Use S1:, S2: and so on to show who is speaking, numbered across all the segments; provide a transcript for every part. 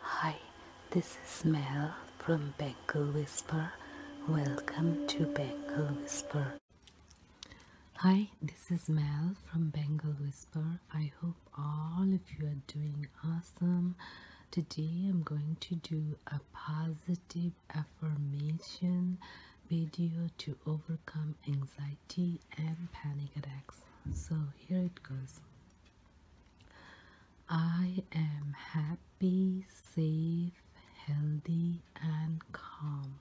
S1: Hi, this is Mel from Bengal Whisper. Welcome to Bengal Whisper. Hi, this is Mel from Bengal Whisper. I hope all of you are doing awesome. Today I'm going to do a positive affirmation video to overcome anxiety and panic attacks. So here it goes. I am happy, safe, healthy, and calm.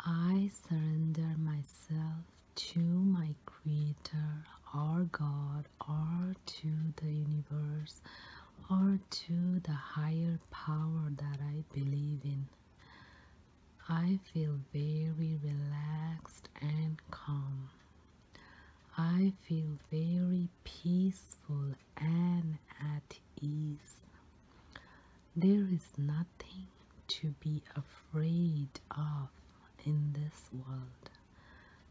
S1: I surrender myself to my Creator our God or to the universe or to the higher power that I believe in. I feel very relaxed and calm. I feel very peaceful and at ease. There is nothing to be afraid of in this world.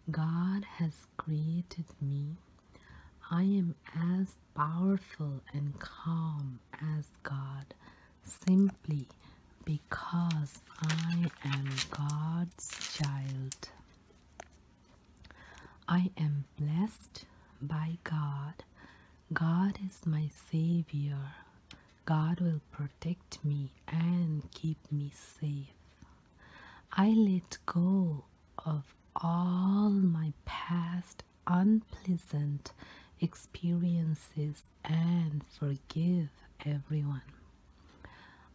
S1: God has created me. I am as powerful and calm as God simply because I am God's child. I am blessed by God. God is my Savior. God will protect me and keep me safe. I let go of all my past unpleasant experiences and forgive everyone.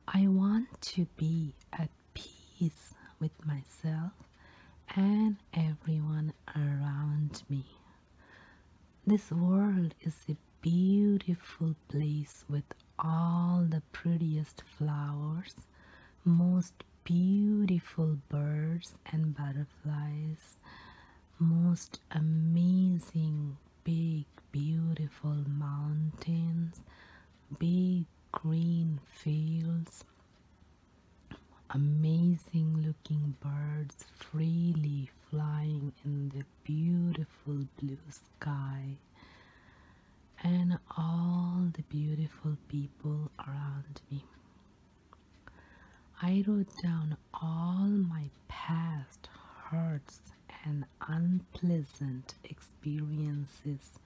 S1: I want to be at peace with myself and everyone around me. This world is a beautiful place with all the prettiest flowers, most beautiful birds and butterflies, most amazing, big, beautiful mountains, big green fields, amazing looking birds freely flying in the beautiful blue sky and all the beautiful people around me I wrote down all my past hurts and unpleasant experiences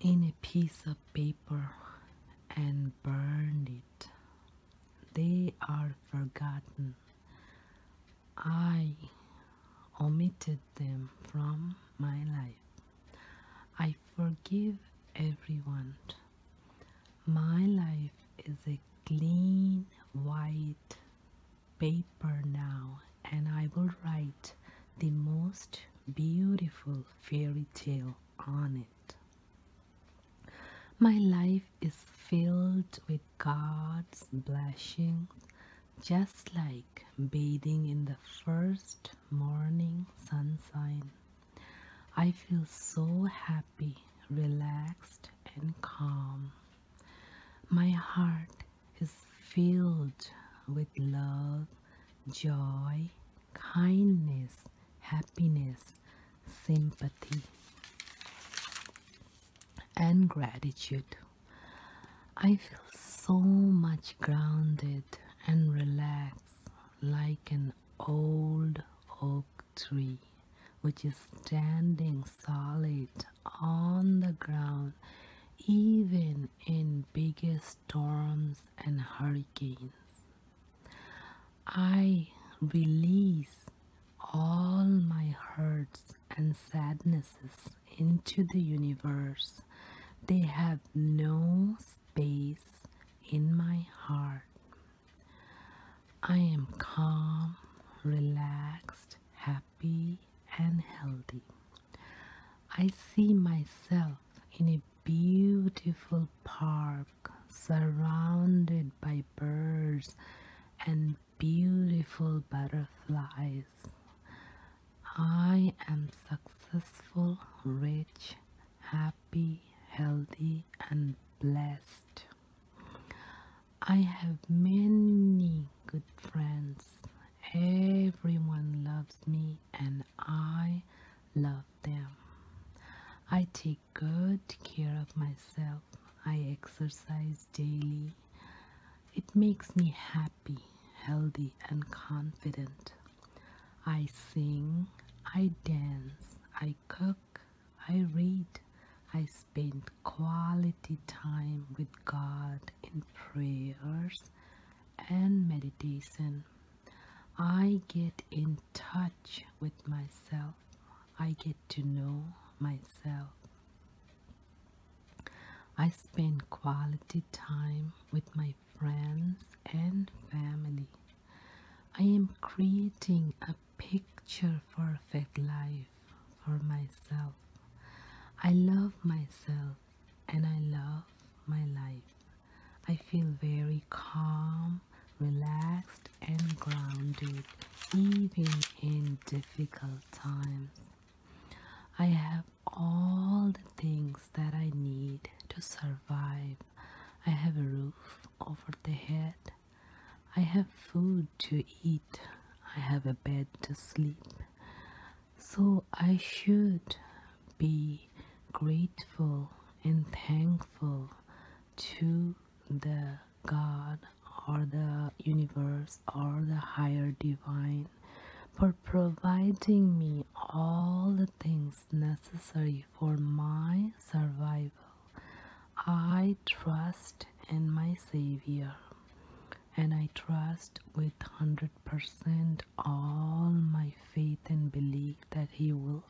S1: in a piece of paper and burned it. They are forgotten. I omitted them from my life. I forgive everyone. My life is a clean white paper now, and I will write the most beautiful fairy tale on it. My life is filled with God's blessings, just like bathing in the first morning sunshine. I feel so happy, relaxed, and calm. My heart is filled with love, joy, kindness, happiness, sympathy, and gratitude. I feel so much grounded and relaxed, like an old oak tree which is standing solid on the ground even in biggest storms and hurricanes. I release all my hurts and sadnesses into the universe. They have no space in my heart. I am calm, relaxed, happy, and healthy. I see myself in a beautiful park surrounded by birds and beautiful butterflies. I am successful, rich, happy, healthy, and blessed. I have many good friends. Everyone loves me, and I love them. I take good care of myself. I exercise daily. It makes me happy, healthy, and confident. I sing, I dance, I cook, I read, I spend quality time with God in prayers and meditation. I get in touch with myself. I get to know myself. I spend quality time with my friends and family. I am creating a picture perfect life for myself. I love myself and I love my life. I feel very calm, relaxed, and grounded even in difficult times. I have all the things that I need to survive. I have a roof over the head. I have food to eat. I have a bed to sleep. So I should be grateful and thankful to the God or the universe or the higher divine for providing me all the things necessary for my survival. I trust in my Savior and I trust with 100% all my faith and belief that He will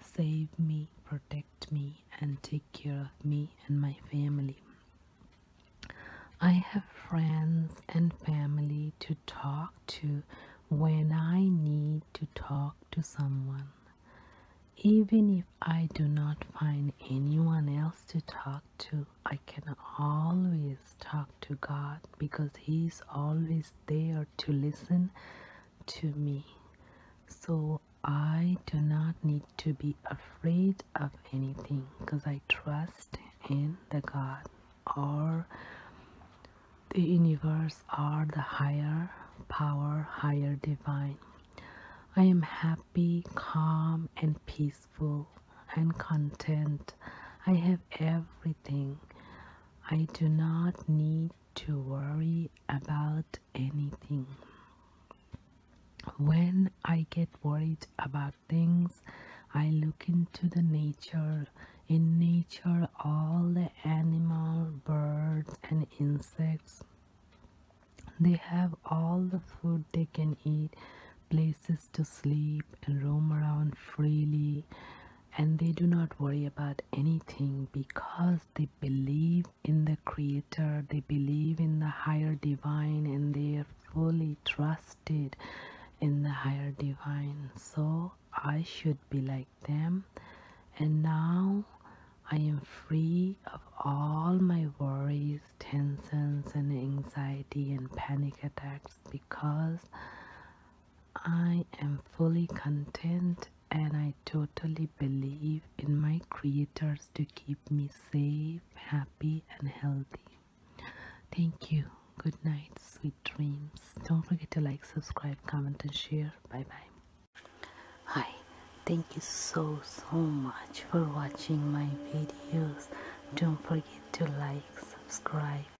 S1: save me, protect me and take care of me and my family. I have friends and family to talk to when I need to talk to someone. Even if I do not find anyone else to talk to, I can always talk to God because He is always there to listen to me. So I do not need to be afraid of anything because I trust in the God or the universe or the higher power, higher divine. I am happy, calm, and peaceful and content. I have everything. I do not need to worry about anything. When I get worried about things, I look into the nature. In nature, all the animal, birds and insects, they have all the food they can eat, places to sleep and roam around freely and they do not worry about anything because they believe in the creator they believe in the higher divine and they are fully trusted in the higher divine so i should be like them and now i am free of all my worries tensions and anxiety and panic attacks because I am fully content and I totally believe in my creators to keep me safe, happy, and healthy. Thank you. Good night, sweet dreams. Don't forget to like, subscribe, comment, and share. Bye bye. Hi, thank you so so much for watching my videos. Don't forget to like, subscribe.